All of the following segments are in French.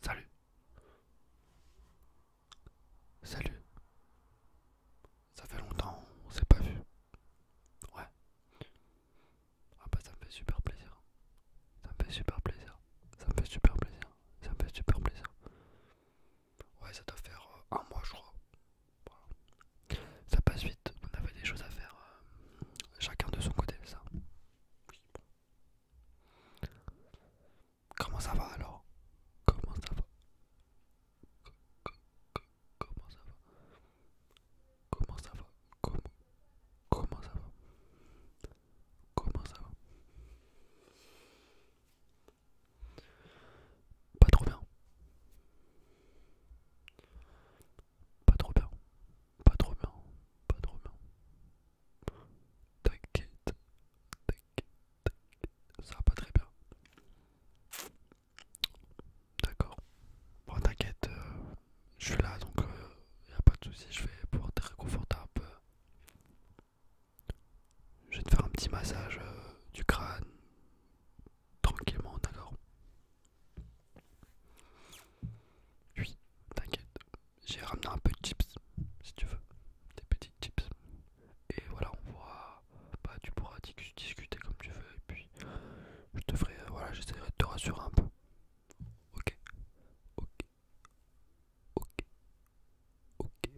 Salut. Salut. Ça fait longtemps, on s'est pas vu. Ouais. Ah bah ça me fait super plaisir. Ça me fait super plaisir. Ça me fait super plaisir. Ça me fait super plaisir. Ouais, ça doit faire euh, un mois je crois. Ça passe vite, on avait des choses à faire euh, chacun de son côté, ça. Comment ça va alors Comment ça va Comment ça va Comment ça va Comment, Comment ça va Comment ça va Pas trop bien. Pas trop bien. Pas trop bien. Pas trop bien. T'inquiète. T'inquiète. Ça va pas très bien. D'accord. Bon, t'inquiète. Euh, je suis là donc il euh, a pas de soucis, Je vais pouvoir te réconforter un peu. Je vais te faire un petit massage euh, du crâne. Tranquillement, d'accord oui, t'inquiète. J'ai ramené un peu de chips, si tu veux. Des petits chips. Et voilà, on voit. Bah, tu pourras discuter comme tu veux. Et puis, je te ferai. Euh, voilà, j'essaierai de te rassurer un peu. Ok. Ok. Ok. Ok. Ok.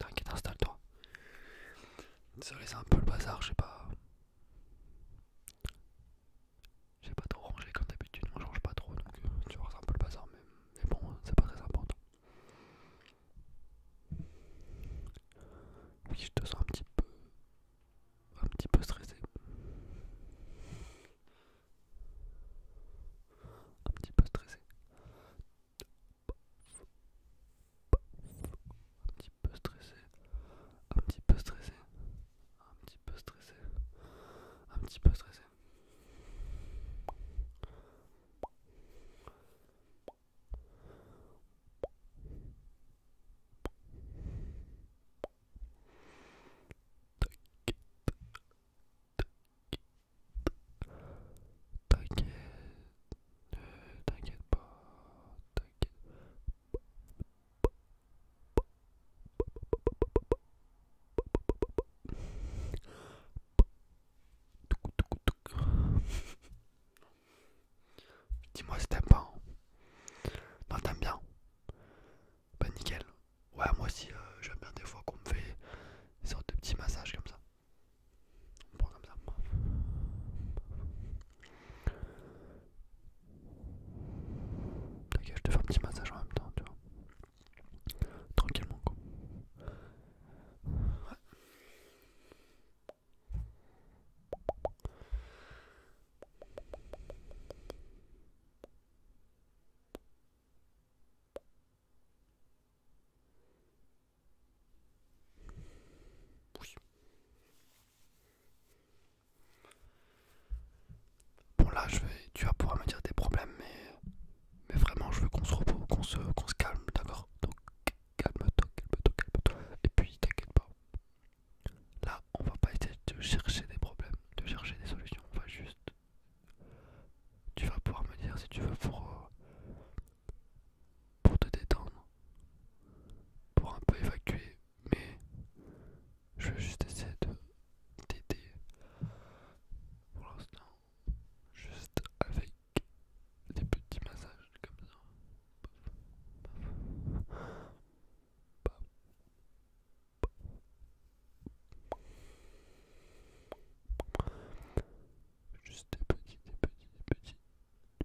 T'inquiète, installe-toi. Ça laisse un peu le bazar, je sais pas. J'ai pas trop rangé comme d'habitude, on change pas trop donc tu vois c'est un peu le bazar mais, bon c'est pas très important. Oui je te sens un petit peu un petit peu stressé. Un petit peu stressé petit peu stressé, un petit peu stressé, un petit peu stressé, un petit peu stressé. T'inquiète, t'inquiète pas, t'inquiète, Dis-moi si t'aimes pas. Hein. Non, t'aimes bien. Pas bah, nickel. Ouais, moi aussi, euh, j'aime bien des fois qu'on me fait des de petits massages comme ça. prend comme ça. Ok, je te faire un petit massage en même temps, tu vois. Tranquillement, quoi. Ouais. Bon là je vais, tu vas pouvoir me dire des problèmes mais, vraiment je veux qu'on se qu'on se, calme, d'accord Donc calme-toi, calme-toi, calme-toi. Et puis t'inquiète pas. Là on va pas essayer de chercher des problèmes, de chercher des solutions, on va juste... Tu vas pouvoir me dire si tu veux pour... Euh, pour te détendre, pour un peu évacuer, mais je vais juste essayer de t'aider pour l'instant, juste avec des petits massages comme ça. Juste des petits, des petits, des petits,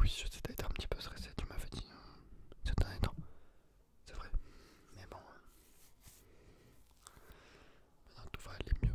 Oui, je sais, t'as été un petit peu stressé, tu m'as dit ces derniers temps. C'est vrai, mais bon. Maintenant Tout va aller mieux.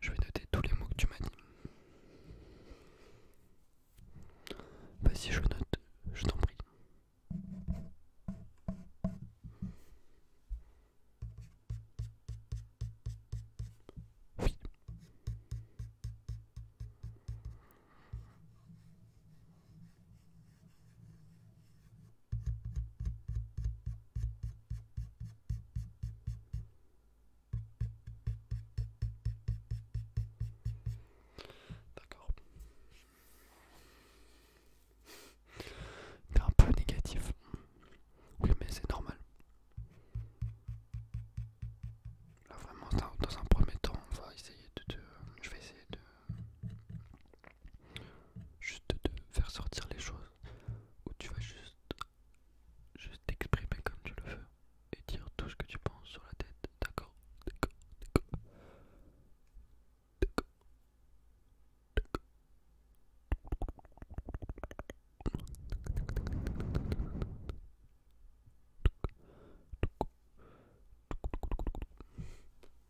Je vais noter tous les mots que tu m'as dit. Vas-y, je note, je t'en prie. Oui. D'accord. un peu négatif. Oui mais c'est normal. Là vraiment dans un premier temps on va essayer de te... Je vais essayer de juste de faire sortir les choses où tu vas juste juste t'exprimer comme tu le veux et dire tout ce que tu penses sur la tête d'accord d'accord d'accord d'accord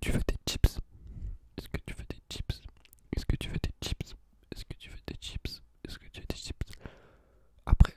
Tu fais des chips Est-ce que tu fais des chips Est-ce que tu fais des chips Est-ce que tu fais des chips Est-ce que tu veux des chips Après,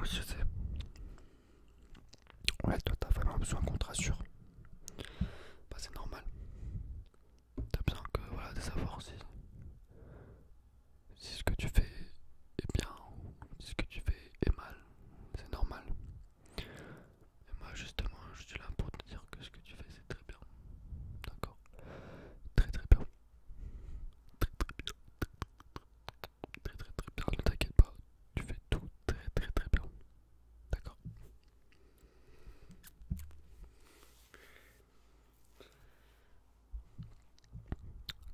Monsieur, je sais. Ouais, toi t'as vraiment besoin qu'on te rassure. Bah, c'est normal. T'as besoin que, voilà, de savoir si, si ce que tu fais est bien si ce que tu fais est mal. C'est normal. Et moi, justement, je suis là pour te dire que ce que tu fais, c'est très bien. D'accord Très très bien. Très très bien. Très très très bien. Ne t'inquiète pas, tu fais tout très très très bien. D'accord.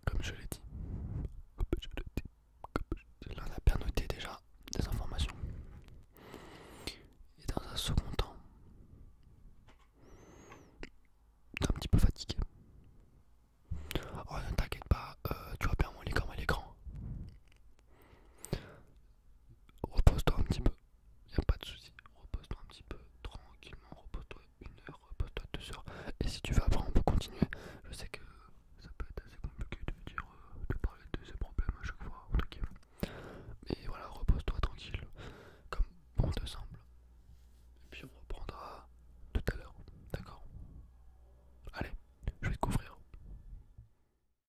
Comme je l'ai dit, on a bien noté déjà des informations. Et dans un second temps, un petit peu fatigué. Oh ne t'inquiète pas, euh, tu vas bien mon écran à l'écran. Repose-toi un petit peu, y a pas de souci. Repose-toi un petit peu, tranquillement. Repose-toi une heure, repose-toi deux heures. Et si tu veux, après, on peut continuer. Je sais que ça peut être assez compliqué de dire, euh, de parler de ces problèmes à chaque fois, Mais voilà, repose-toi tranquille, comme bon te semble. Et puis on reprendra tout à l'heure, d'accord Allez, je vais te couvrir.